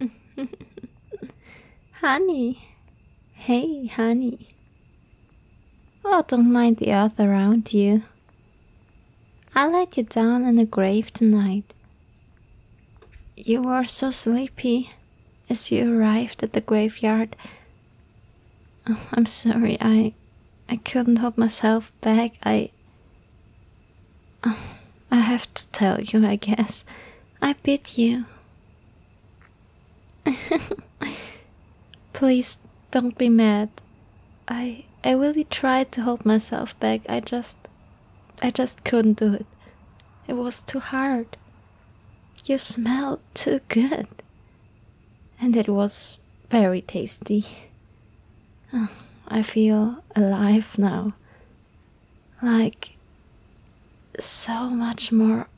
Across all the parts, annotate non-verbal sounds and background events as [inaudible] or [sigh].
[laughs] honey. Hey, honey. Oh, don't mind the earth around you. I laid you down in the grave tonight. You were so sleepy as you arrived at the graveyard. Oh, I'm sorry, I I couldn't hold myself back. I [sighs] I. have to tell you, I guess. I bit you. [laughs] Please don't be mad. I I really tried to hold myself back. I just I just couldn't do it. It was too hard. You smelled too good. And it was very tasty. [sighs] I feel alive now like so much more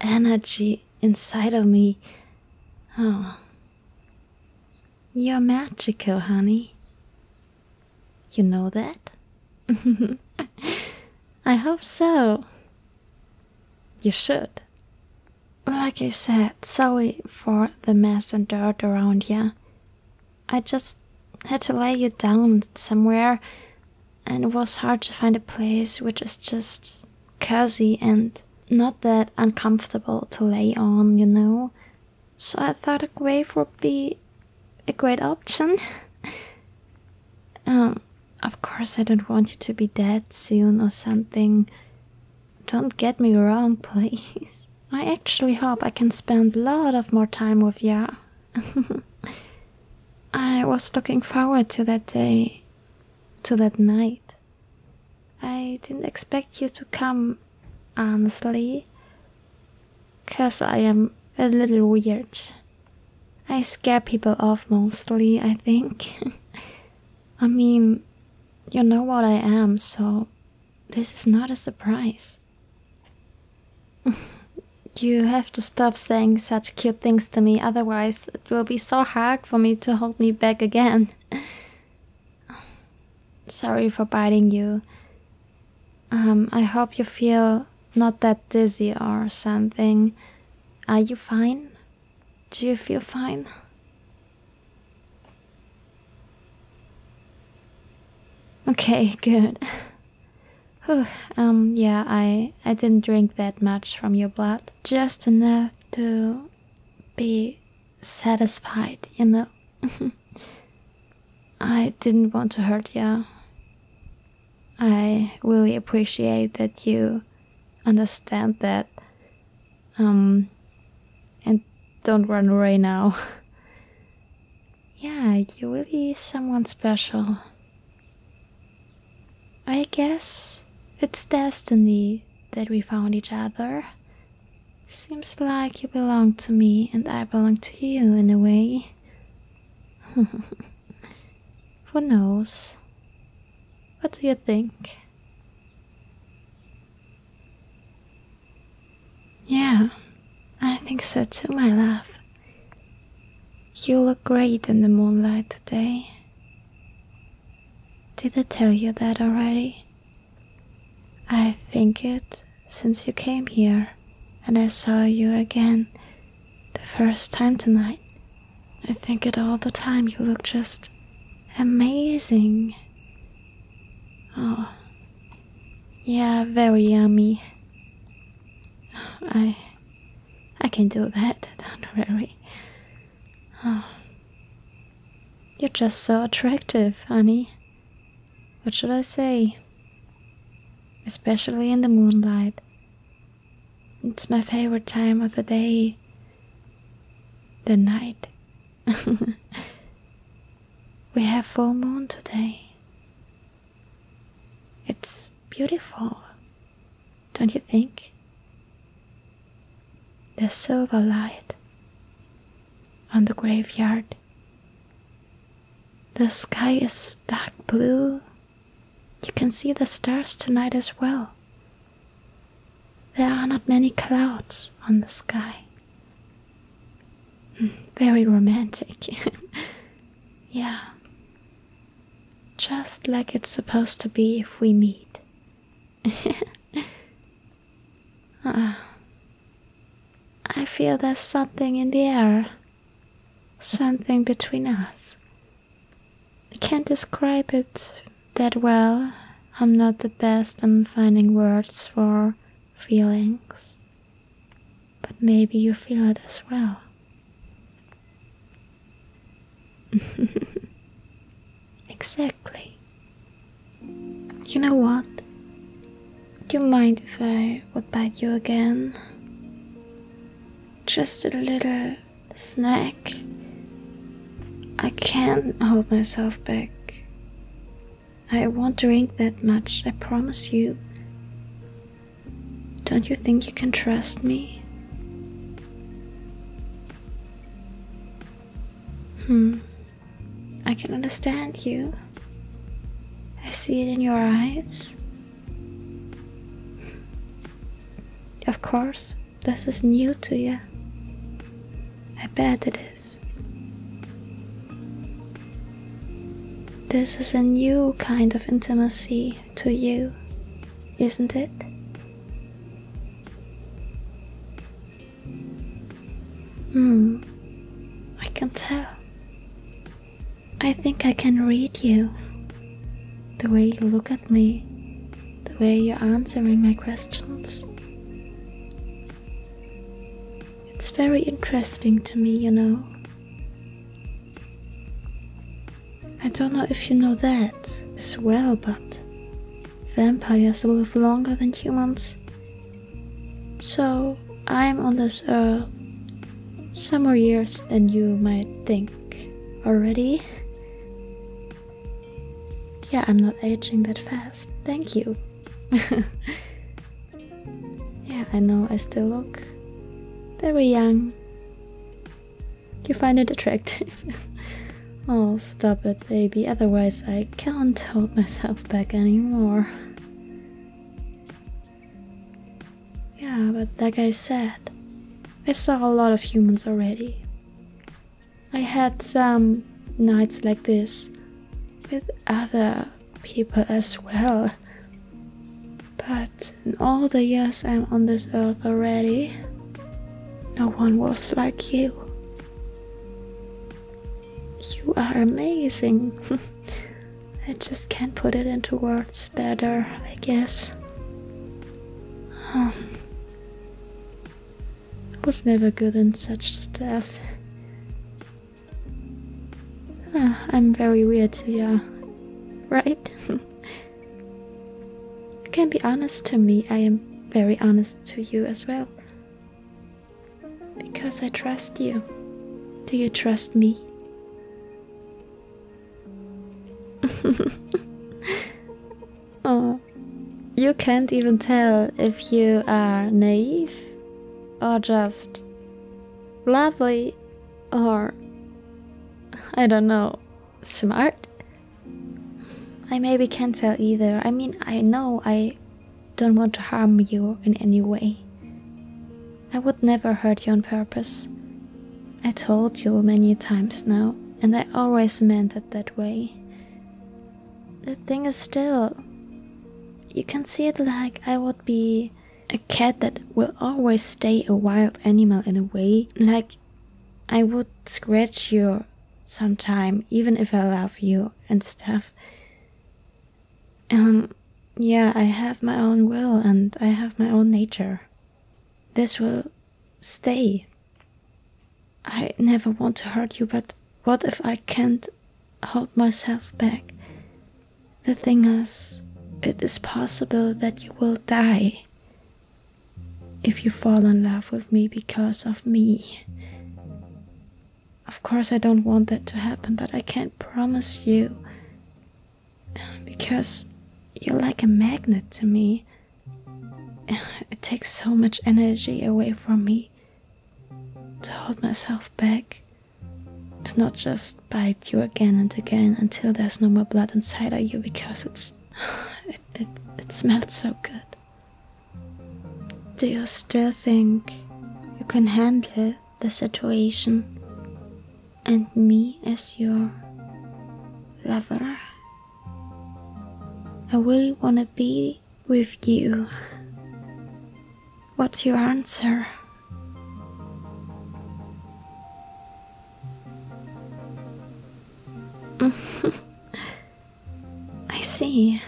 energy inside of me. Oh, you're magical, honey. You know that? [laughs] I hope so. You should. Like I said, sorry for the mess and dirt around here. I just had to lay you down somewhere, and it was hard to find a place which is just cozy and not that uncomfortable to lay on, you know. So I thought a grave would be a great option. [laughs] um, of course, I don't want you to be dead soon or something. Don't get me wrong, [laughs] please. I actually hope I can spend a lot of more time with you. [laughs] I was looking forward to that day, to that night. I didn't expect you to come, honestly, because I am a little weird. I scare people off mostly, I think. [laughs] I mean, you know what I am, so this is not a surprise. [laughs] You have to stop saying such cute things to me, otherwise, it will be so hard for me to hold me back again. [sighs] Sorry for biting you. Um, I hope you feel not that dizzy or something. Are you fine? Do you feel fine? Okay, [laughs] good. um, yeah, I I didn't drink that much from your blood, just enough to be satisfied, you know. [laughs] I didn't want to hurt you. I really appreciate that you understand that, um, and don't run away now. [laughs] yeah, you're really someone special. I guess it's destiny that we found each other. Seems like you belong to me and I belong to you in a way. [laughs] Who knows? What do you think? Yeah, I think so too, my love. You look great in the moonlight today. Did I tell you that already? I think it since you came here and I saw you again the first time tonight. I think it all the time you look just amazing. Oh, yeah, very yummy. I I can do that, [laughs] don't worry. Oh. You're just so attractive, honey. What should I say? Especially in the moonlight. It's my favorite time of the day. The night [laughs] we have full moon today. It's beautiful, don't you think? The silver light on the graveyard. The sky is dark blue. You can see the stars tonight as well. There are not many clouds on the sky. Very romantic. [laughs] yeah. Just like it's supposed to be if we meet. [laughs] uh, I feel there's something in the air. Something between us. I can't describe it that well. I'm not the best in finding words for feelings, but maybe you feel it as well. [laughs] exactly. You know what? Do you mind if I would bite you again? Just a little snack. I can't hold myself back. I won't drink that much, I promise you. Don't you think you can trust me? Hmm, I can understand you. I see it in your eyes. Of course, this is new to you. I bet it is. This is a new kind of intimacy to you, isn't it? Hmm, I can tell. I think I can read you. The way you look at me, the way you're answering my questions. It's very interesting to me, you know. I don't know if you know that as well, but vampires live longer than humans. So I'm on this earth some more years than you might think already. Yeah, I'm not aging that fast. Thank you. [laughs] yeah, I know I still look very young. You find it attractive. [laughs] oh, stop it, baby. Otherwise, I can't hold myself back anymore. Yeah, but like I said, I saw a lot of humans already. I had some nights like this with other people as well. But in all the years I'm on this earth already, no one was like you. You are amazing. [laughs] I just can't put it into words better, I guess. Um, I was never good in such stuff. Ah, I'm very weird, yeah. Right? you [laughs] can be honest to me, I am very honest to you as well. Because I trust you. Do you trust me? [laughs] oh, you can't even tell if you are naive or just lovely or I don't know, smart? I maybe can't tell either. I mean, I know I don't want to harm you in any way. I would never hurt you on purpose. I told you many times now, and I always meant it that way. The thing is still, you can see it like I would be a cat that will always stay a wild animal in a way. Like I would scratch you sometime, even if I love you and stuff. Um, yeah, I have my own will and I have my own nature. This will stay. I never want to hurt you, but what if I can't hold myself back? The thing is, it is possible that you will die if you fall in love with me because of me. Of course, I don't want that to happen, but I can't promise you because you're like a magnet to me. [sighs] It takes so much energy away from me to hold myself back, to not just bite you again and again until there's no more blood inside of you because it's. [sighs] It, it, it smelled so good. Do you still think you can handle the situation and me as your lover? I really want to be with you. What's your answer? [laughs] I see.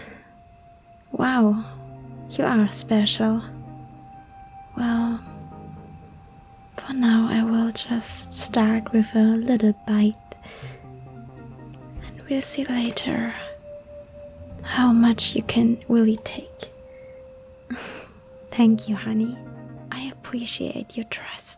Wow, you are special. Well, for now, I will just start with a little bite and we'll see later how much you can really take. [laughs] Thank you, honey. I appreciate your trust.